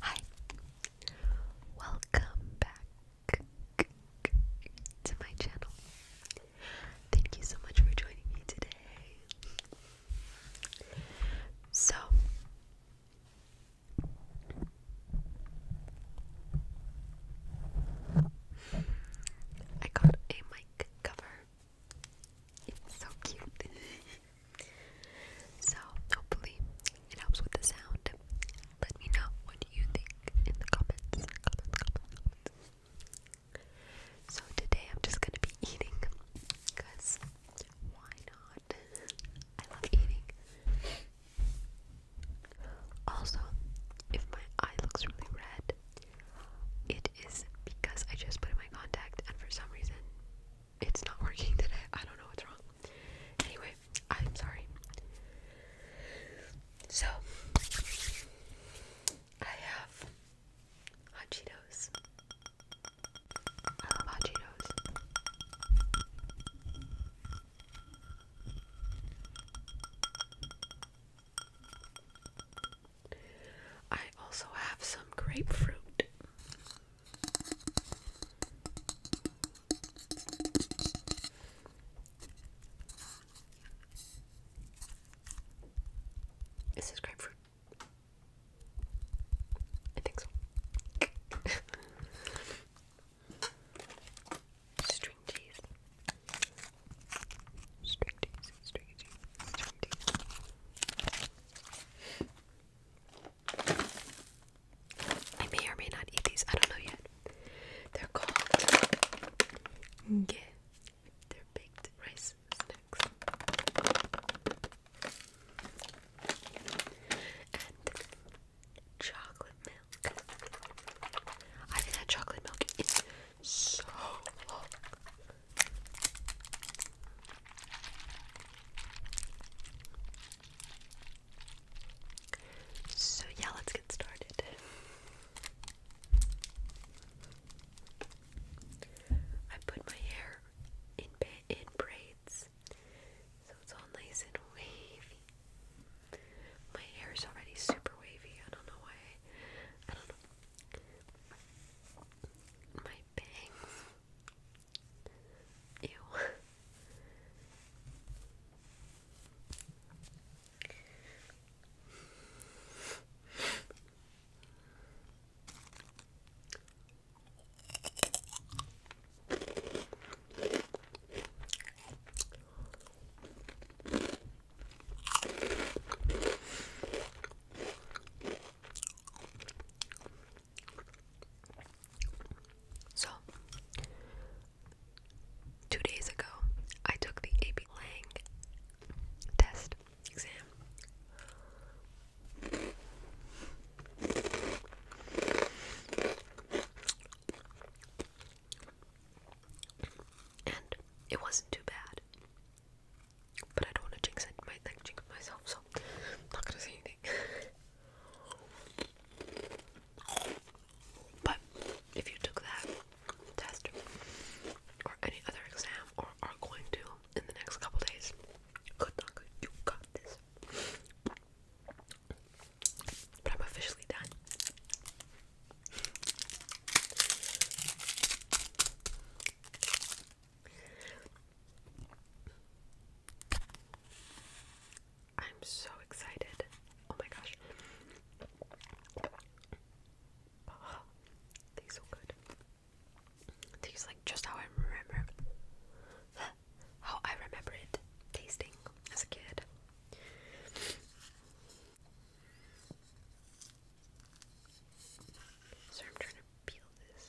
Hi, welcome back to my channel. Thank you so much for joining me today. So, I got a mic cover it's so cute. so, hopefully, it helps with the sound. Let me know what you think in the comments. So, today I'm just gonna be eating because why not? I love eating. Also, if my eye looks really red, it is because I just put in my contact and for some reason it's not working today. I don't know what's wrong. Anyway, I'm sorry. So, I have hot Cheetos. I love hot Cheetos. I also have some grapefruit. Is grapefruit? I think so. String cheese. I may or may not eat these. I don't know yet. They're called They're baked rice snacks. And chocolate milk. I haven't chocolate milk in so So, yeah, let's get started. I put my hair in, in braids so it's all nice and wavy. My hair is already super wavy. I don't know why. I don't know. My bangs. Ew. So, two days ago, I took the AP Lang test exam. And it wasn't too bad. But I don't want to jinx it, might like jinx myself, so not gonna say anything. but if you took that test or any other exam or are going to in the next couple days, good luck, you got this. But I'm officially done. I'm so excited. Oh my gosh. Oh, these good. Tastes like just how I remember how I remember it tasting as a kid. Sorry, I'm trying to peel this.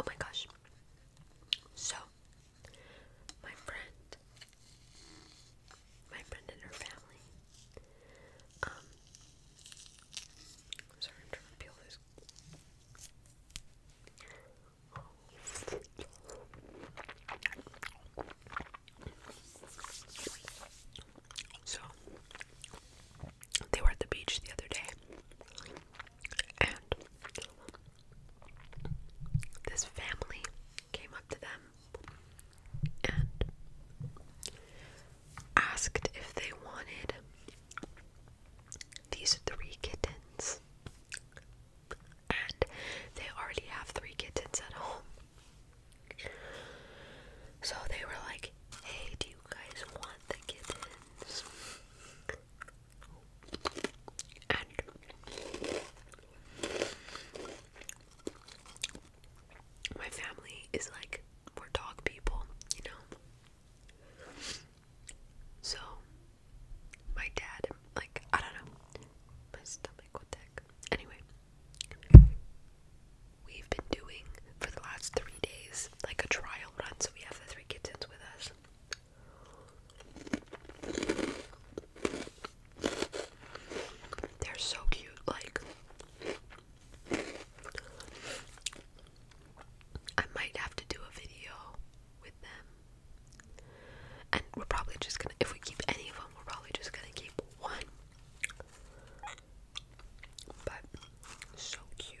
Oh my gosh. So, my friend, my friend and her family, um, so, they were at the beach the other day, and this family came up to them and asked if they wanted these three kittens. And they already have three kittens at home. So they were like, hey, do you guys want the kittens? And my family is like we're dog people, you know. So my dad, like I don't know, my stomach. What the heck? Anyway, we've been doing for the last three days like a trial run, so we have the three kittens with us. They're so cute, like I might have to do a video with them. And we're probably just gonna, if we keep any of them, we're probably just gonna keep one. But, so cute.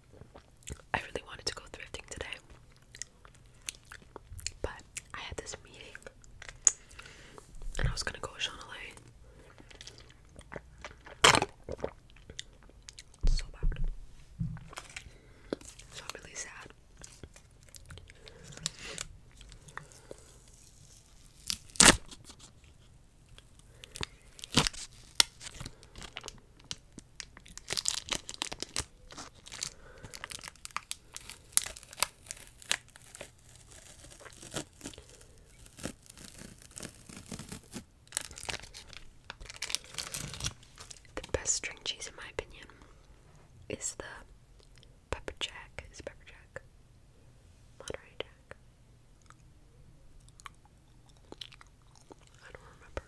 I really wanted to go thrifting today, but I had this meeting and I was gonna go with Sean So bad. So really sad. The best string cheese, in my opinion, is the pepper jack. Is pepper jack? Monterey jack. I don't remember.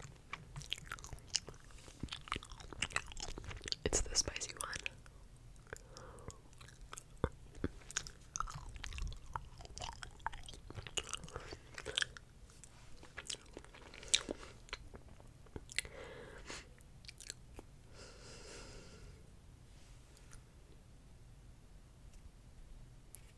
It's the spicy one.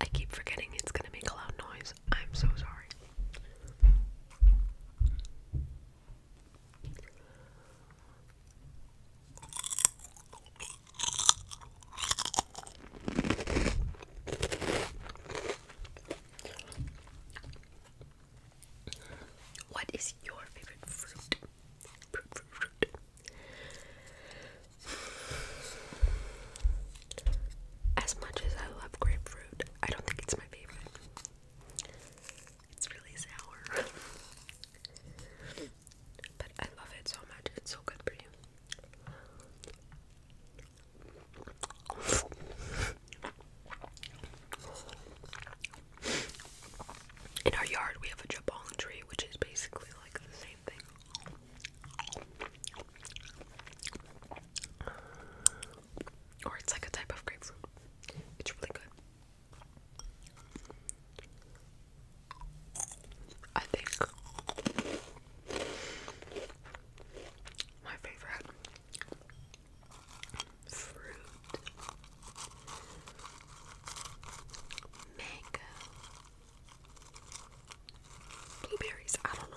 I keep forgetting it's gonna make a loud noise. I'm so sorry. What is your favorite fruit? As much as I love grapefruit, I don't think it's my favorite. It's really sour. but I love it so much. It's so good for you. In our yard, we have a jabong tree, which is basically like the same thing. Or it's like a type of grapefruit. It's really good. I think my favorite fruit mango Blueberries, I don't know.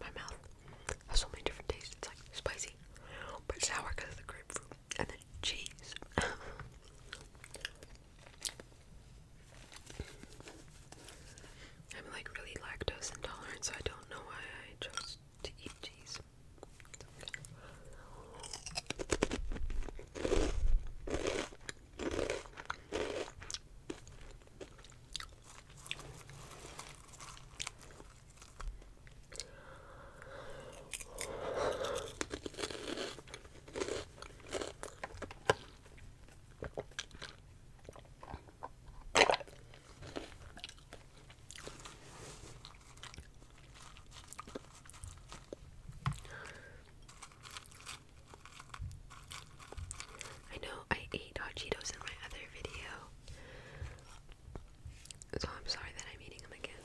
My mouth has so many different tastes. It's like spicy, but sour because of the grapefruit and the cheese. I'm like really lactose intolerant, so I don't know why I chose to eat cheese. I know I ate hot Cheetos in my other video, so I'm sorry that I'm eating them again.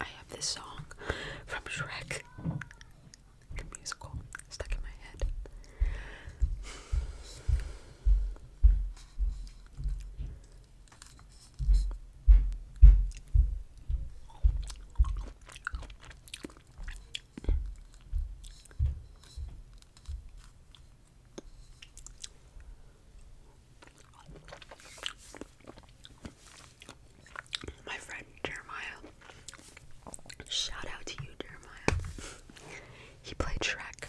I have this song from Shrek, the musical, stuck in my head. My friend Jeremiah. Shout out to you, Jeremiah. he played Shrek.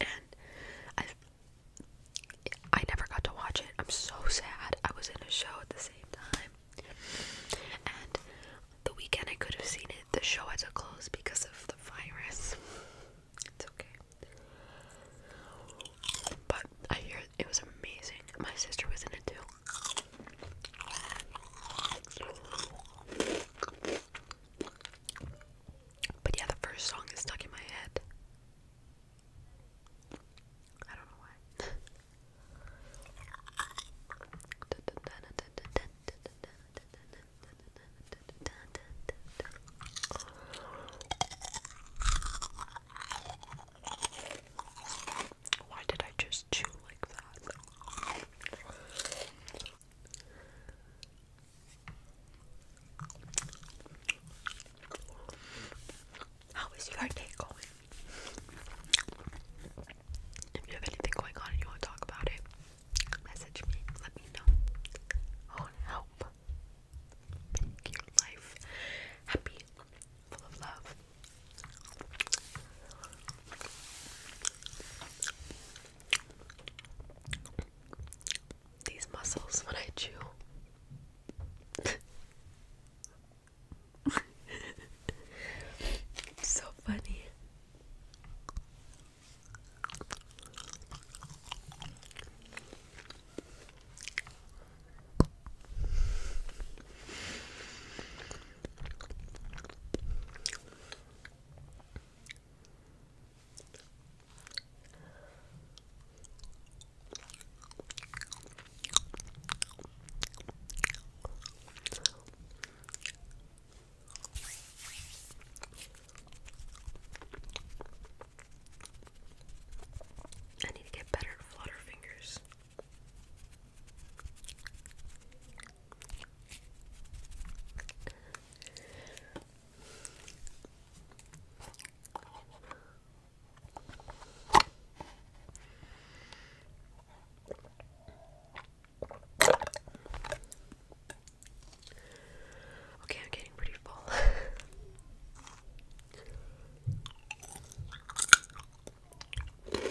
And I I never got to watch it. I'm so sad. I was in a show at the same time. And the weekend I could have seen it, the show had to close because of the virus. It's okay. But I hear it was amazing. My sister was in But yeah, the first song is stuck in my head. I don't know why. Why did I just chew like that? How is your day going? If you have anything going on and you want to talk about it, message me. Let me know. I want to help make your life happy, full of love. These muscles when I chew. it's so funny. I need to get better flutter fingers. Okay, I'm getting pretty full.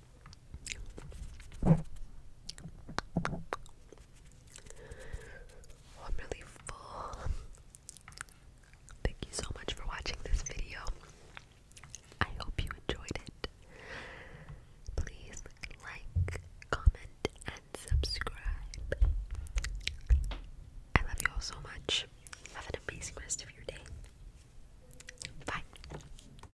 Oh, I'm really full. Thank you so much for watching this video. I hope you enjoyed it. Please like, comment, and subscribe. I love you all so much. Have an amazing rest of your day. Bye.